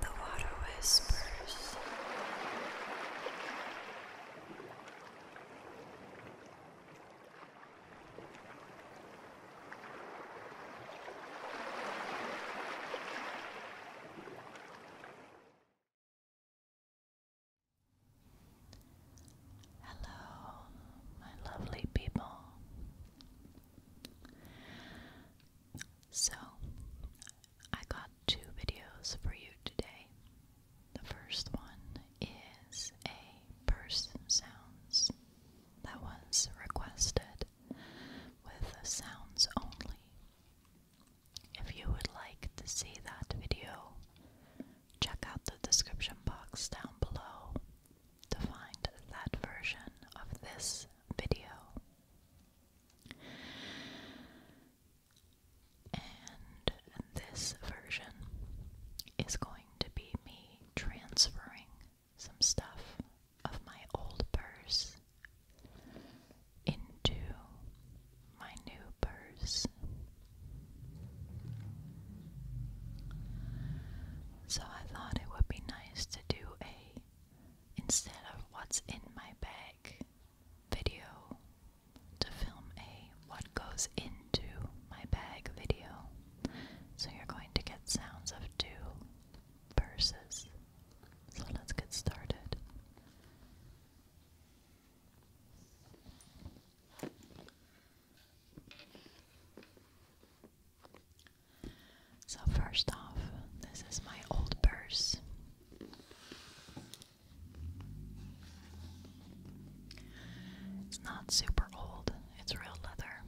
The water whispers. Hello, my lovely people. So, I got two videos for you today. The first one is a person sounds that was requested with sounds only. If you would like to see that video, check out the description box down below to find that version of this video. And this version is going to be me transferring some stuff of my old purse into my new purse. So I thought it would be nice to do a instead of what's in my bag video to film a what goes into my bag video. So you're going to get sounds of two verses. So let's get started. So, first off, this is my old purse. It's not super old, it's real leather,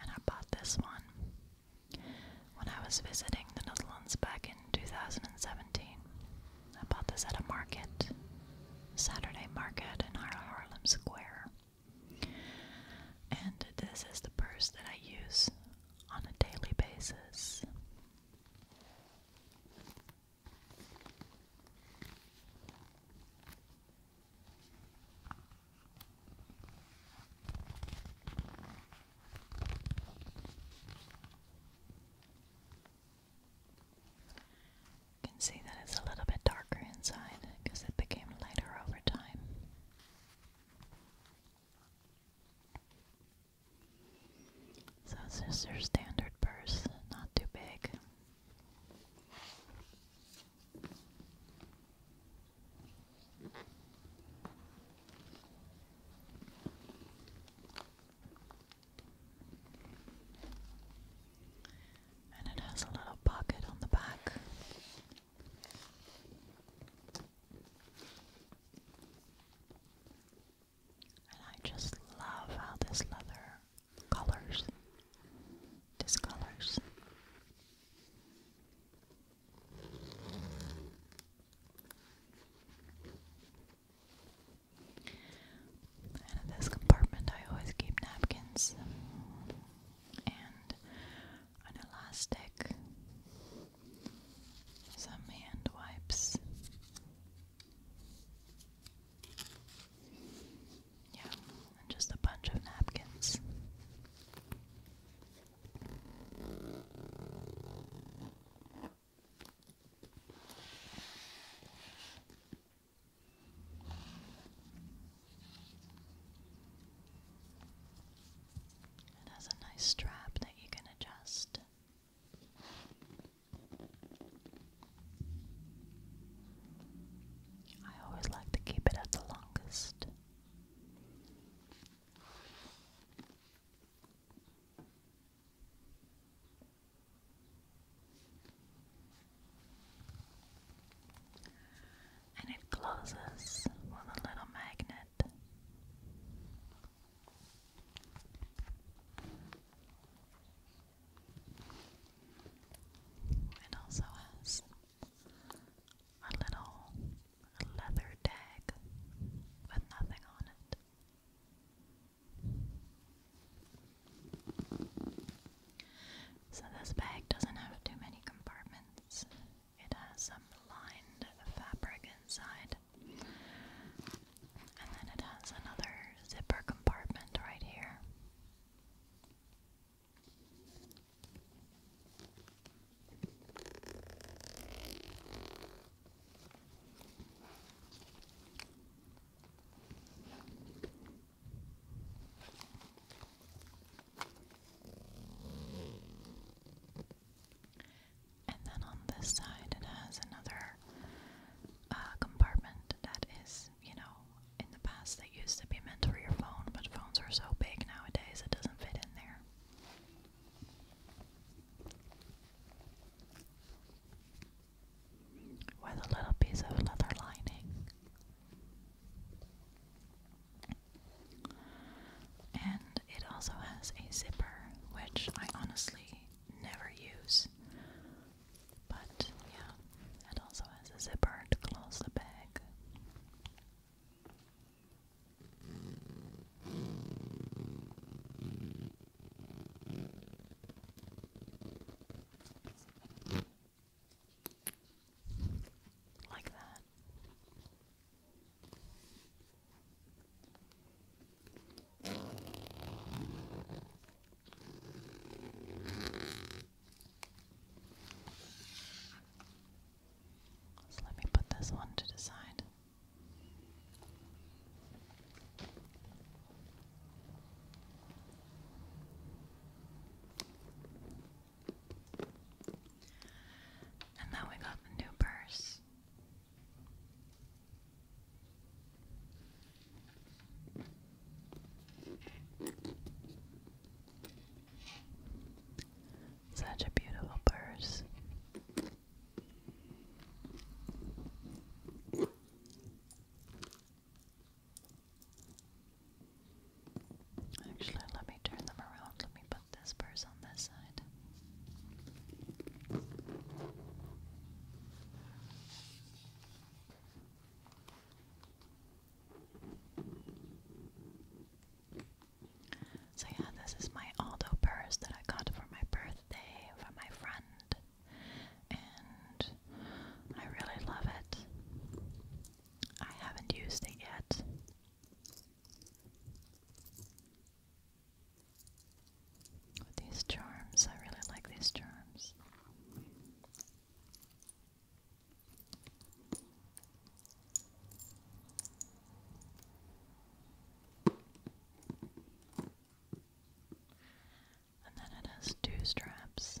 and I bought this one when I was visiting the Netherlands back in 2017. I bought this at a market, Saturday market in Harlem Square. And this is the purse that I use on a daily basis. You can see that it's a little bit darker inside because it became lighter over time. So it's just your standard purse, not too big. And it has a little pocket on the back and I just love how this leather colors, discolors. And in this compartment, I always keep napkins an elastic, some hand wipes. Yeah, and just a bunch of napkins. It has a nice strap that you can adjust. I always like to keep it at the longest and it closes with a little magnet. It also has a little leather tag with nothing on it. So, this bag doesn't have too many compartments, it has some lined fabric inside. And then it has another zipper compartment right here. And then on this side, it has another uh, compartment that is, you know, in the past that used to be meant for your phone, but phones are so big nowadays it doesn't fit in there. With a little piece of leather lining and it also has a zipper, which I honestly never use. But yeah, it also has a zipper to close the bag. Like that. So let me put this one to the side. And then we got the new purse. Such a beautiful purse. Actually, let me turn them around. Let me put this purse on this side. So, yeah, this is my Aldo purse that I got for my birthday from my friend, and I really love it. I haven't used it yet. these charms, I really like these charms. And then it has two straps.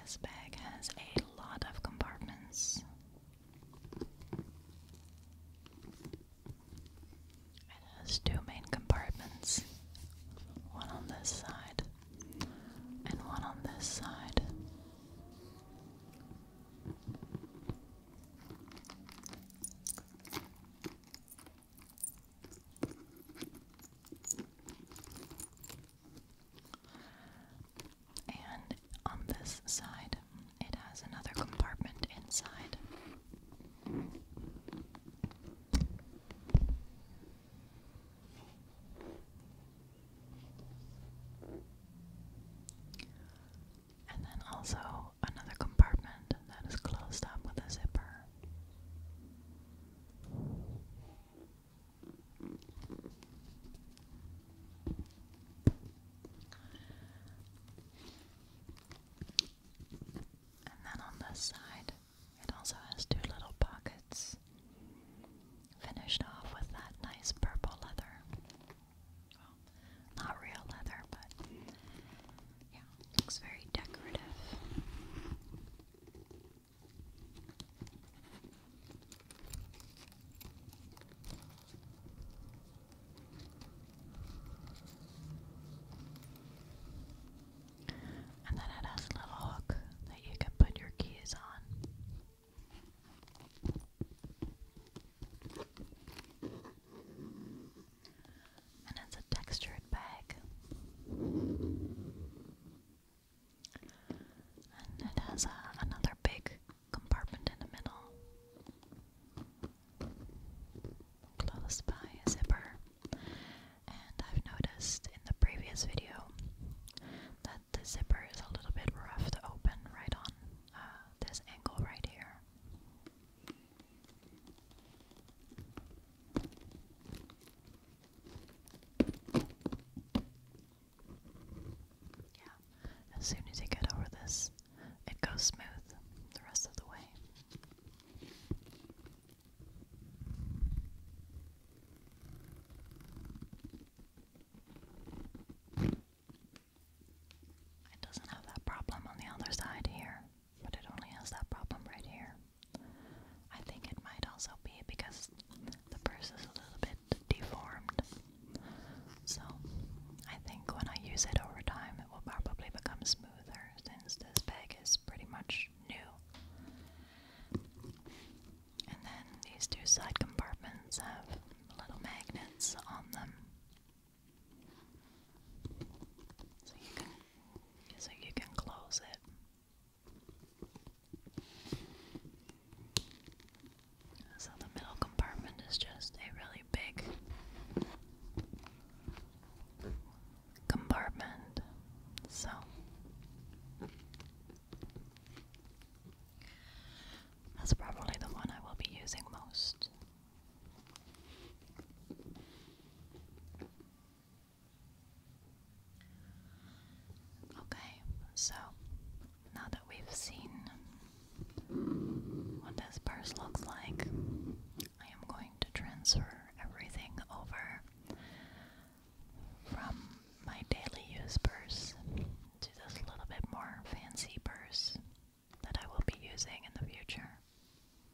this bag has a lot of compartments. It has two main compartments one on this side and one on this side. And on this side, it has another compartment inside. And then also another compartment that is closed up with a zipper. And then on this side, it also has two little pockets, finished off with that nice purple leather. Well, not real leather, but yeah, looks very decorative. And then it has a little hook that you can put your keys on. And it's a textured bag. And it has uh, another big compartment in the middle. Close by a zipper. And I've noticed in the previous video that the zipper is a little bit rough to open right on uh, this angle right here. Yeah, as soon as you get over this, it goes smooth the rest of the way. It doesn't have that problem on the other side here, but it only has that problem right here. I think it might also be because the purse is a little bit deformed. So I think when I use it over time, it will probably become smoother since this bag is pretty much new. And then these two side compartments have little magnets on them. So you can so you can close it so the middle compartment is just a really big compartment. So that's probably the one I will be using most. Okay, so now that we've seen what this purse looks like, I am going to transfer everything over from my daily use purse to this little bit more fancy purse that I will be using in the future.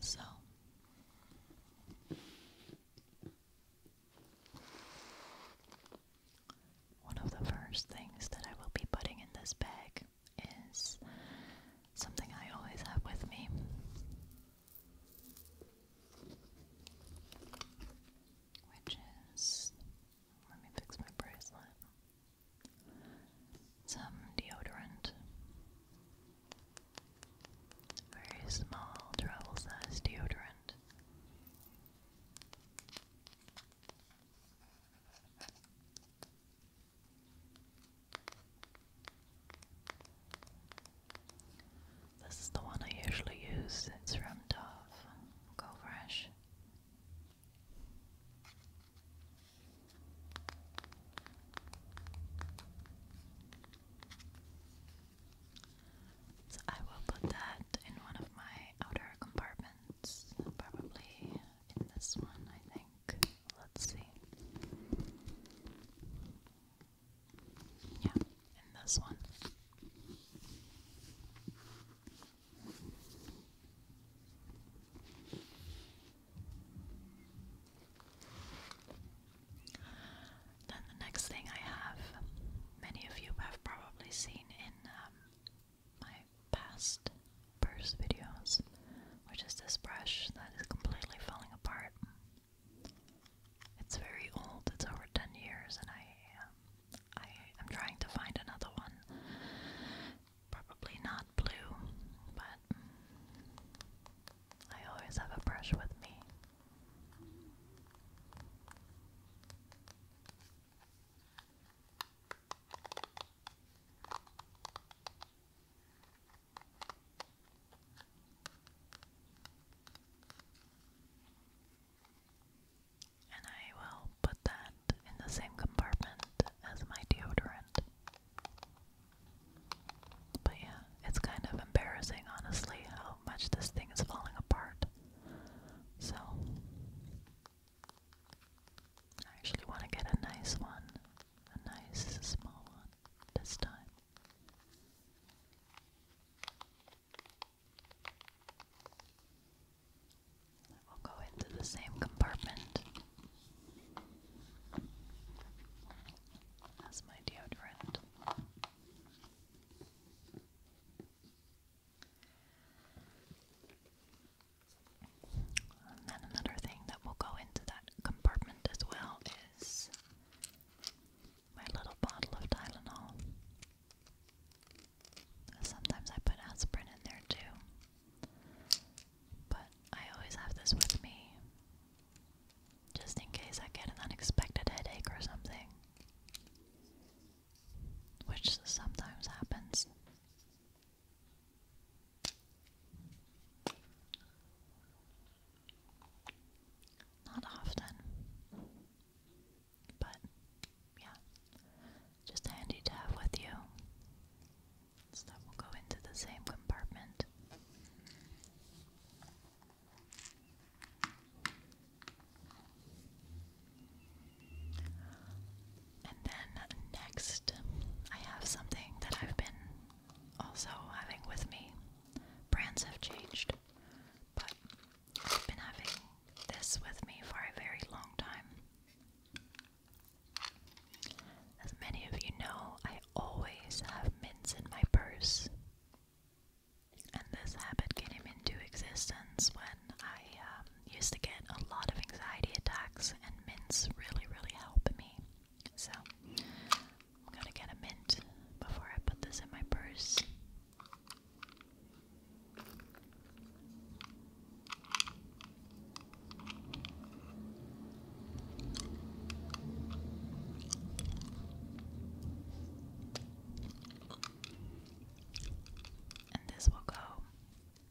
So one of the first things that I will be putting in this bag is something I always have with me. Which is, let me fix my bracelet some deodorant. Very small travel size deodorant. This is the one I usually use. It's from Dove Go Fresh. So I will put that in one of my outer compartments, probably in this one, I think. Let's see. Yeah, in this one. Then the next thing I have, many of you have probably seen in um, my past purse videos, which is this brush that is completely falling apart. It's very old, it's over 10 years, and I, um, I am trying to find another one Probably not blue, but mm, I always have a brush with me. And I will put that in the same compartment as my deodorant. But yeah, it's kind of embarrassing, honestly, how much this thing is falling apart. So, I actually want to get a nice one, a nice small one this time. We'll go into the same compartment that's my deodorant. And then another thing that will go into that compartment as well is my little bottle of Tylenol. Sometimes I put aspirin in there too. But I always have this with me just in case I get an unexpected headache or something, which sometimes happens. Not often, but yeah, just handy to have with you. So that will go into the same compartment. And then next, I have something that I've been also having with me. Brands have changed, but I've been having this with me for a very long time. As many of you know, I always have mints in my purse. And this habit came into existence when I um, used to get a lot of anxiety attacks, and mints really, really help me. So, I'm gonna get a mint before I put this in my purse. And this will go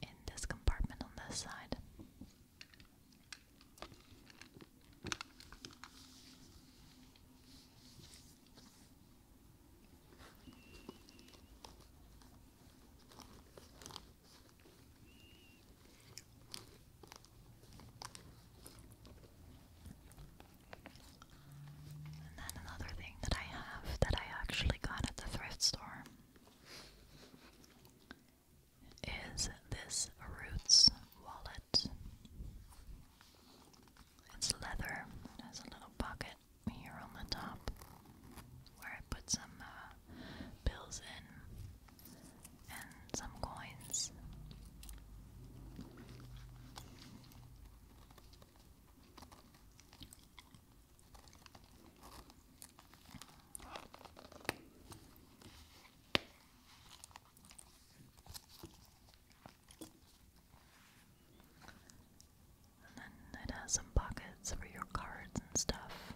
in this compartment on this side. And then another thing that I have that I actually got at the thrift store is this Roots wallet. It's leather, it has a little pocket here on the top where I put some uh, bills in and some coins. And then it has some pockets for your cards and stuff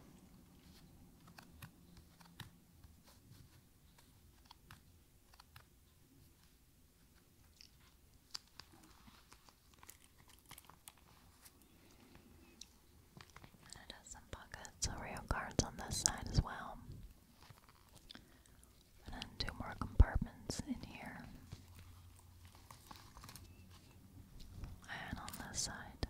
it has some pockets or rail cards on this side as well. And then two more compartments in here and on this side.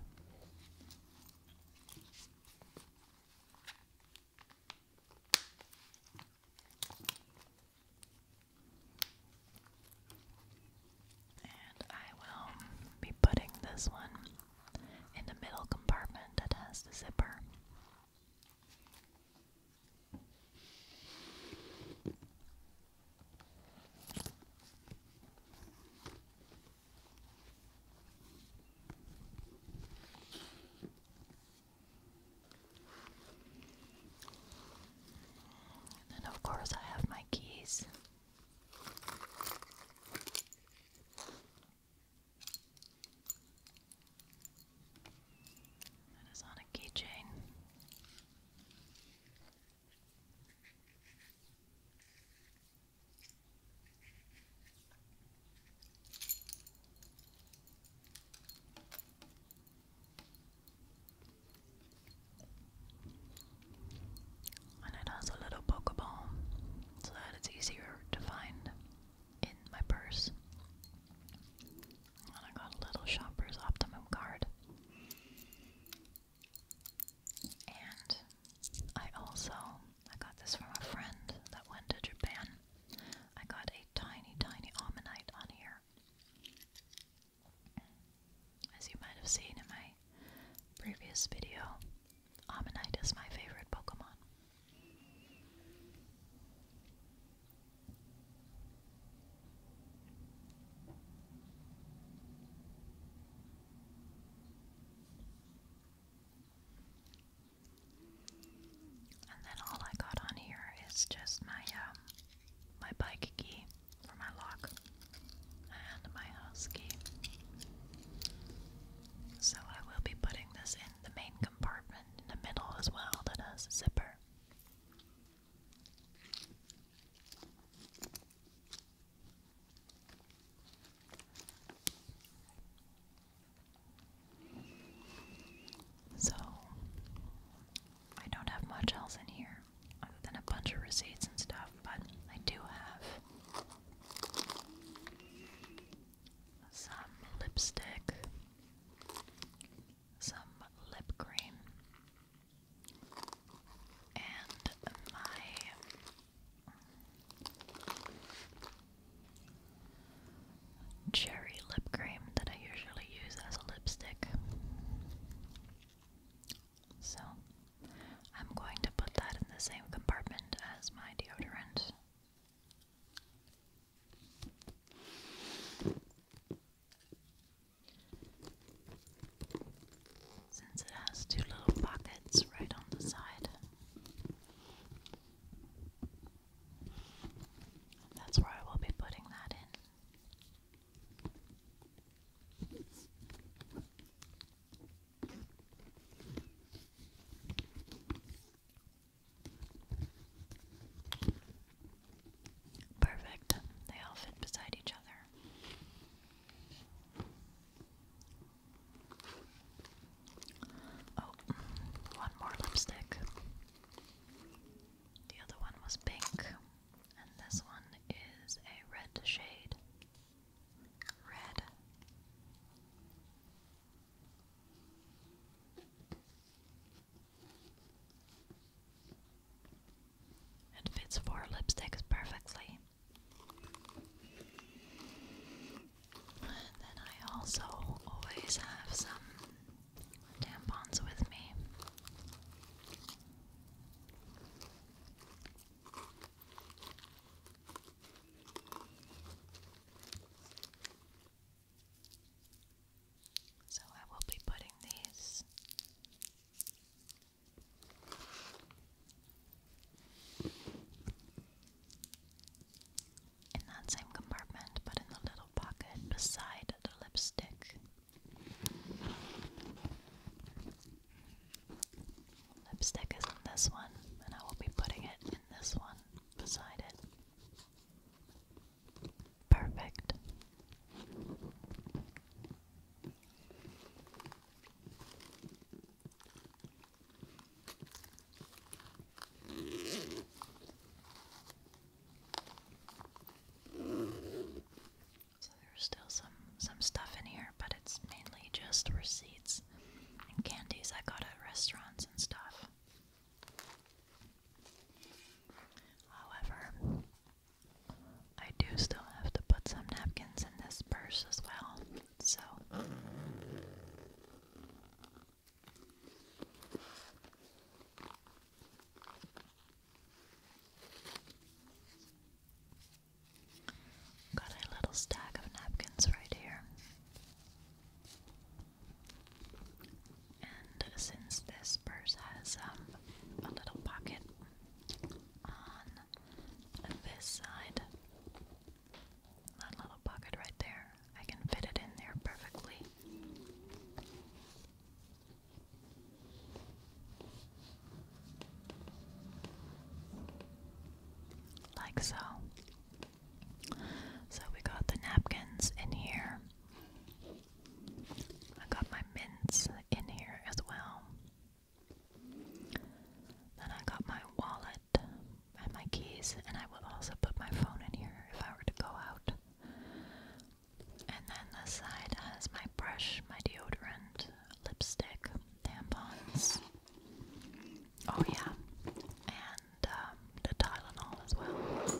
And I will be putting this one in the middle compartment that has the zipper. And of course, I have my keys. That is on a keychain. And it has a little Pokeball so that it's easier to find in my purse. And I got a little shopper's optimum card. And I also I got this from a friend that went to Japan. I got a tiny, tiny almanite on here. As you might have seen in my previous video, Almanite is my favorite Pokemon. And then all I got on here is just my um, my bike key for my lock and my house key. So I will be putting this in the main compartment in the middle as well that has zipper. So, I don't have much else in here other than a bunch of receipts and stuff, but I do have some lipstick, some lip cream, and my cherry lip cream that I usually use as a lipstick. So, I'm going to put that in the same compartment as my deodorant since it has two little pockets right on the side. That's where I will be putting that in. Perfect. They all fit beside each other. Oh, one more lipstick. The other one was pink, and this one is a red shade. Red. It fits four lipsticks perfectly. And then I also always have some tampons with me. So I will be putting these in that same compartment, but in the little pocket beside the lipstick. Lipstick is in this one, and I will be putting it in this one beside it. Perfect. So there's still some some stuff in here, but it's mainly just receipts and candies I got at restaurants and stuff. However, I do still have to put some napkins in this purse as well, so. Got a little stack of napkins right here. And since this purse has um, a little pocket on this side. That little pocket right there. I can fit it in there perfectly. Like so. So we got the napkins in here. I got my mints in here as well. Then I got my wallet and my keys, and I would also put my phone in here if I were to go out. And then this side has my brush, my deodorant, lipstick, tampons. Oh, yeah. And um, the Tylenol as well.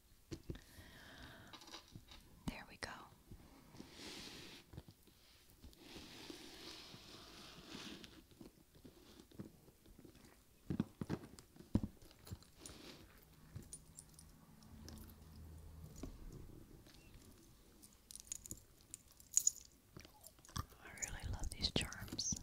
There we go. I really love these charms.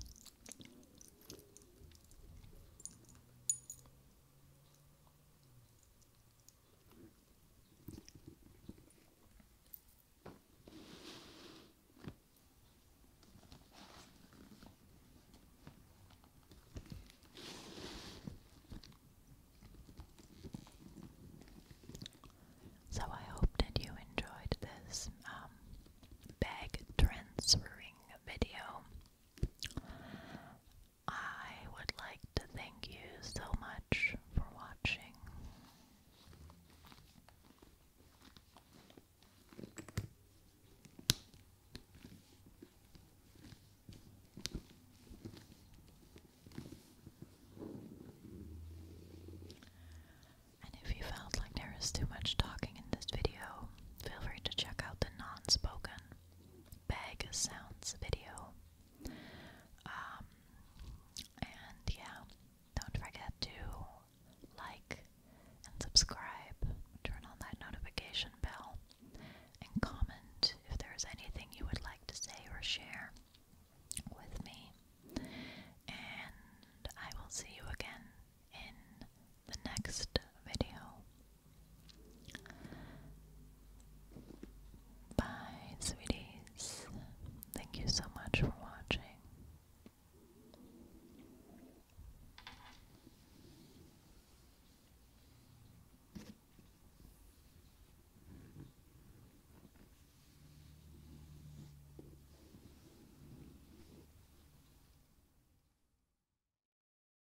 So I hope that you enjoyed this um, bag transferring video. I would like to thank you so much for watching. And if you felt like there too much talking in this video, feel free to check out the non spoken bag sounds video. Um, and yeah, don't forget to like and subscribe, turn on that notification bell, and comment if there's anything you would like to say or share with me. And I will see you again in the next video. Bye, sweeties. Thank you so much for watching.